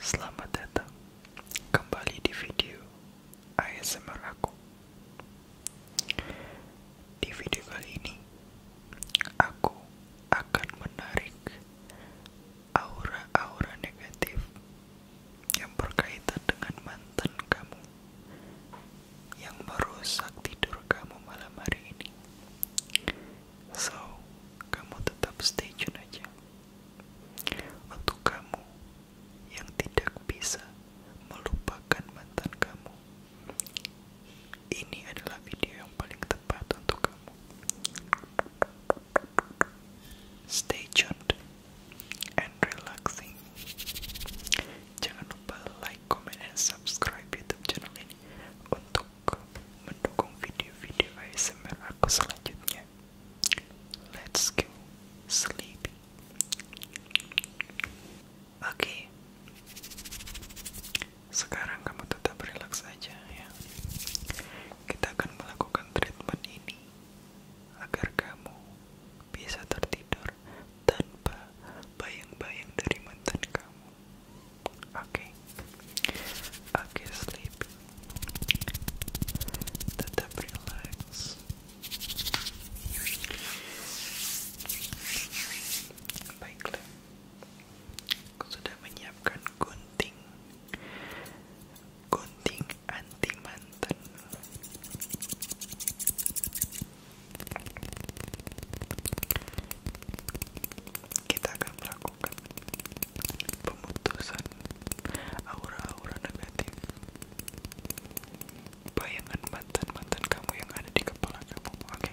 Selamat datang kembali di video ASMR aku. Di video kali ini, aku akan menarik aura-aura negatif yang berkaitan dengan mantan kamu yang merusak tidur kamu malam hari ini. So, kamu tetap stay tune aja. Untuk kamu yang tidak bisa melupakan mantan kamu, ini adalah video yang paling tepat untuk kamu. Stay tuned and relaxing. Jangan lupa like, comment, and subscribe YouTube channel ini untuk mendukung video-video ASMR aku selanjutnya. Let's go sleep. Oke, okay. Sekarang kamu tetap relax aja ya. Kita akan melakukan treatment ini agar kamu bisa tertidur tanpa bayang-bayang dari mantan kamu. Oke. Okay. Oke, sleep. Tetap relax. Baiklah sudah menyiapkan gunting gunting anti mantan kita akan melakukan pemutusan aura-aura negatif bayangan mantan-mantan kamu yang ada di kepala kamu oke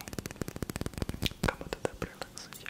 kamu tetap relax saja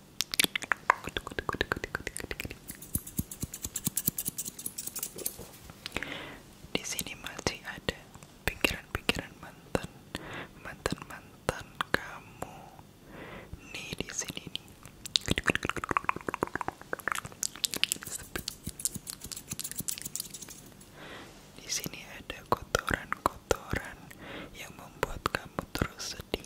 Di sini masih ada pikiran-pikiran mantan, mantan-mantan kamu. Nih di sini nih. Di sini ada kotoran-kotoran yang membuat kamu terus sedih,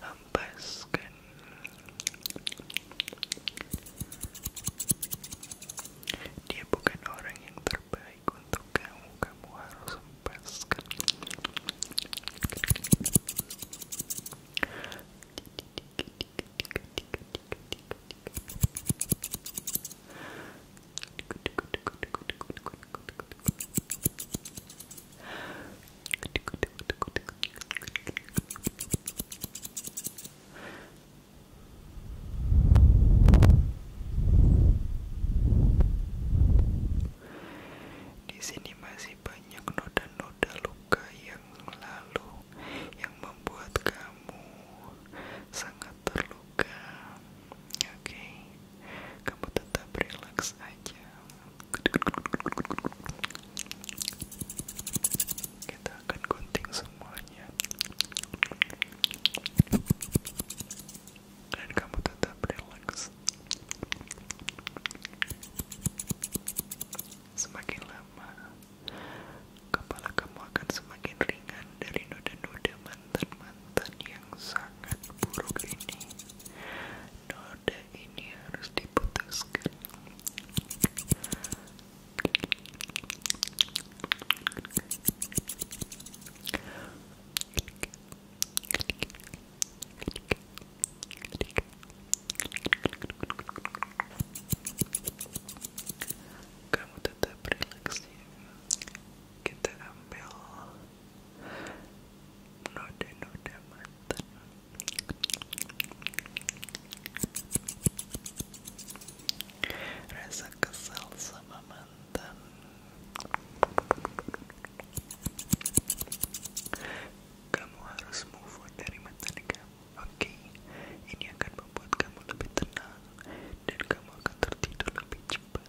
hempaskan dia bukan orang yang terbaik untuk kamu kamu harus hempaskan di sini masih banyak noda-noda luka yang lalu yang membuat kamu sangat terluka. Oke, kamu tetap relax aja. Kita akan gunting semuanya. Dan kamu tetap relax. Semakin lama, kepala kamu akan semakin ringan dari noda-noda mantan yang sangat buruk ini noda ini harus diputuskan kamu tetap relax ya kita ambil noda-noda mantan rasa kesal sama mantan kamu harus move on dari mantan kamu oke ini akan membuat kamu lebih tenang dan kamu akan tertidur lebih cepat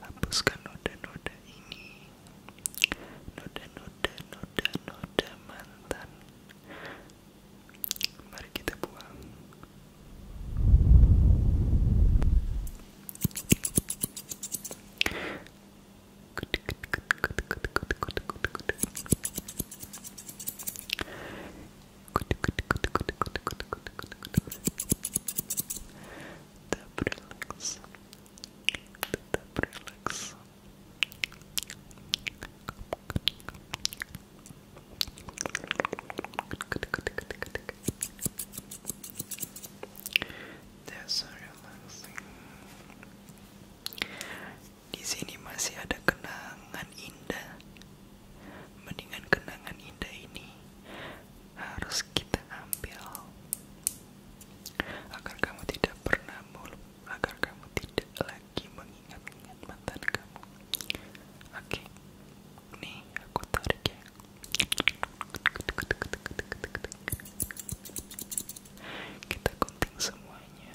Hapuskan noda-noda ini Noda-noda, noda-noda mantan Mari kita buang tetap relax tetap relax that's so relaxing di sini masih ada kenangan indah mendingan kenangan indah ini harus kita ambil agar kamu tidak pernah agar kamu tidak lagi mengingat-ingat mata kamu oke okay. nih aku tarik ya kita gunting semuanya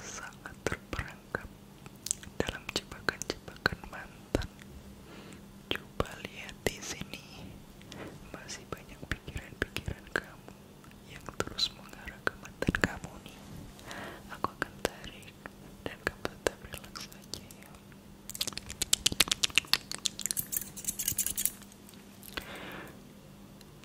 sangat terperangkap dalam jebakan-jebakan mantan. Coba lihat di sini, masih banyak pikiran-pikiran kamu yang terus mengarah ke mantan kamu nih. Aku akan tarik dan kamu tetap relax aja ya. Kamu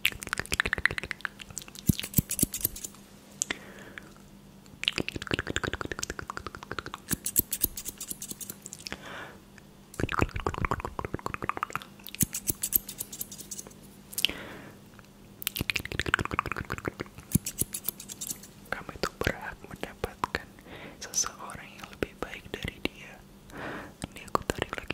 itu berhak mendapatkan seseorang yang lebih baik dari dia. Ini aku lagi.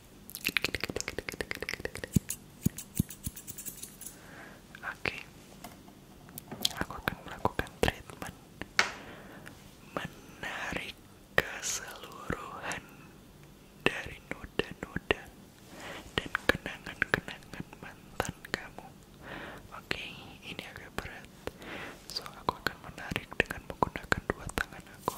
Oke, aku akan melakukan treatment menarik keseluruhan dari noda-noda dan kenangan-kenangan mantan kamu. Oke, ini agak berat, so aku akan menarik dengan menggunakan dua tangan aku.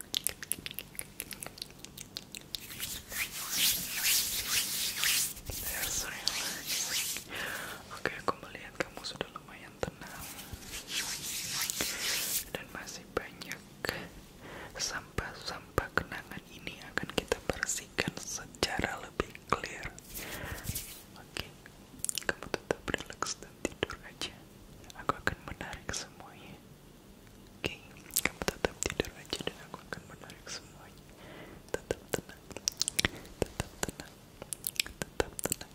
Oke, aku melihat kamu sudah lumayan tenang dan masih banyak sampah-sampah kenangan ini akan kita bersihkan secara lebih clear. Oke, kamu tetap relaks dan tidur aja aku akan menarik semuanya oke kamu tetap tidur aja dan aku akan menarik semuanya tetap tenang tetap tenang tetap tenang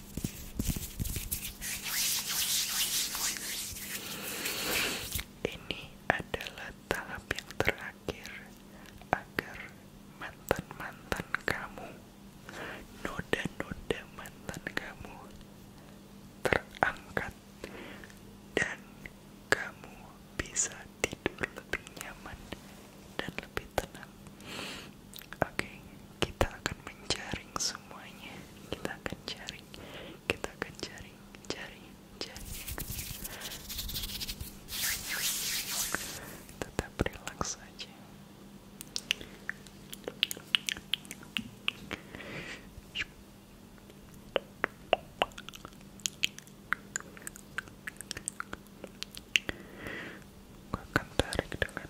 Ini adalah tahap yang terakhir agar mantan-mantan kamu, noda-noda mantan kamu terangkat dan kamu bisa tidur lebih nyaman dan lebih tenang. Oke, kita akan menjaring semuanya. Kita akan jaring, kita akan jaring, jaring, jaring. Tetap relax saja. Gue akan tarik dengan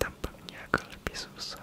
Tampaknya agak lebih susah.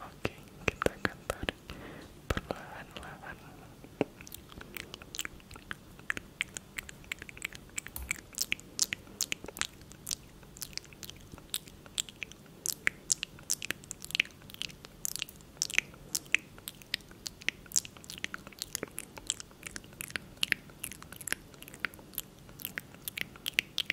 Oke, kita akan tarik perlahan-lahan.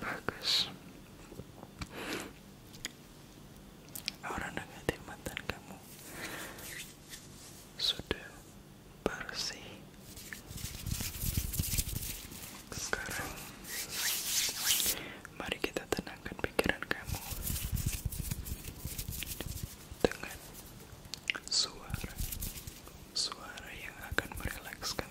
bagus orang negatif mantan kamu sudah bersih sekarang mari kita tenangkan pikiran kamu dengan suara suara yang akan merelakskan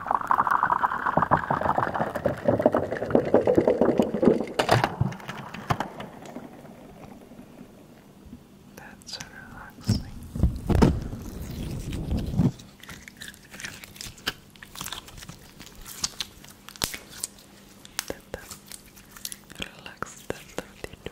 That's so relaxing. Relax the 32, 32.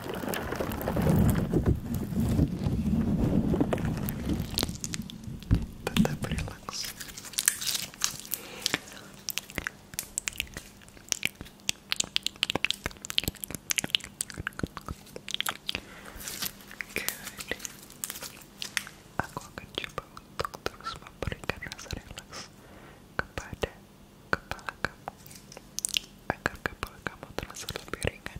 tetap relax Good. Aku akan coba untuk terus memberikan rasa relax kepada kepala kamu agar kepala kamu terasa lebih ringan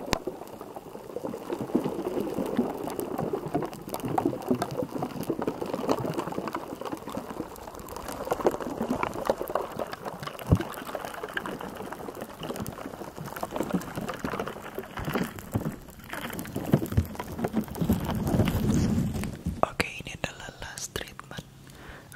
Oke, ini adalah last treatment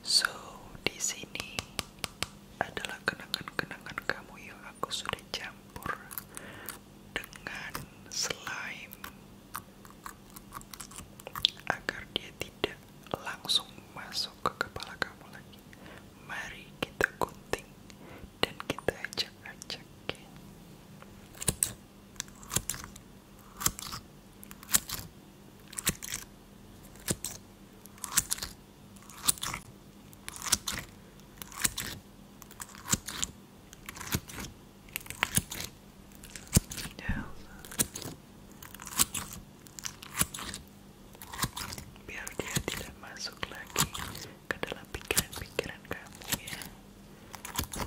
So, di sini adalah kenangan-kenangan kamu yang aku sudah campur dengan slime agar dia tidak langsung masuk ke kepala kamu lagi. Mari kita gunting dan kita acak-acak biar dia tidak masuk lagi ke dalam pikiran-pikiran kamu ya oke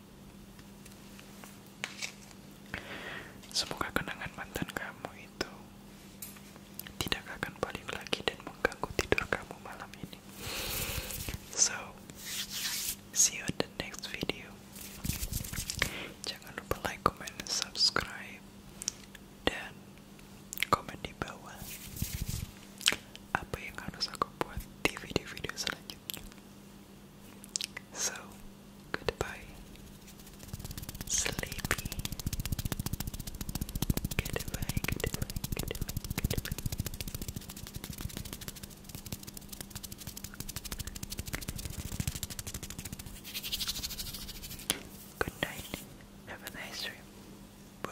Semoga kenangan mantan kamu itu tidak akan kembali lagi dan mengganggu tidur kamu malam ini. So, see you in the next video. Jangan lupa like, comment, subscribe dan komen di bawah apa yang harus aku buat di video-video selanjutnya. So, goodbye, sleepy. Goodbye, goodbye, goodbye, goodbye. Good night. Have a nice dream. Bye.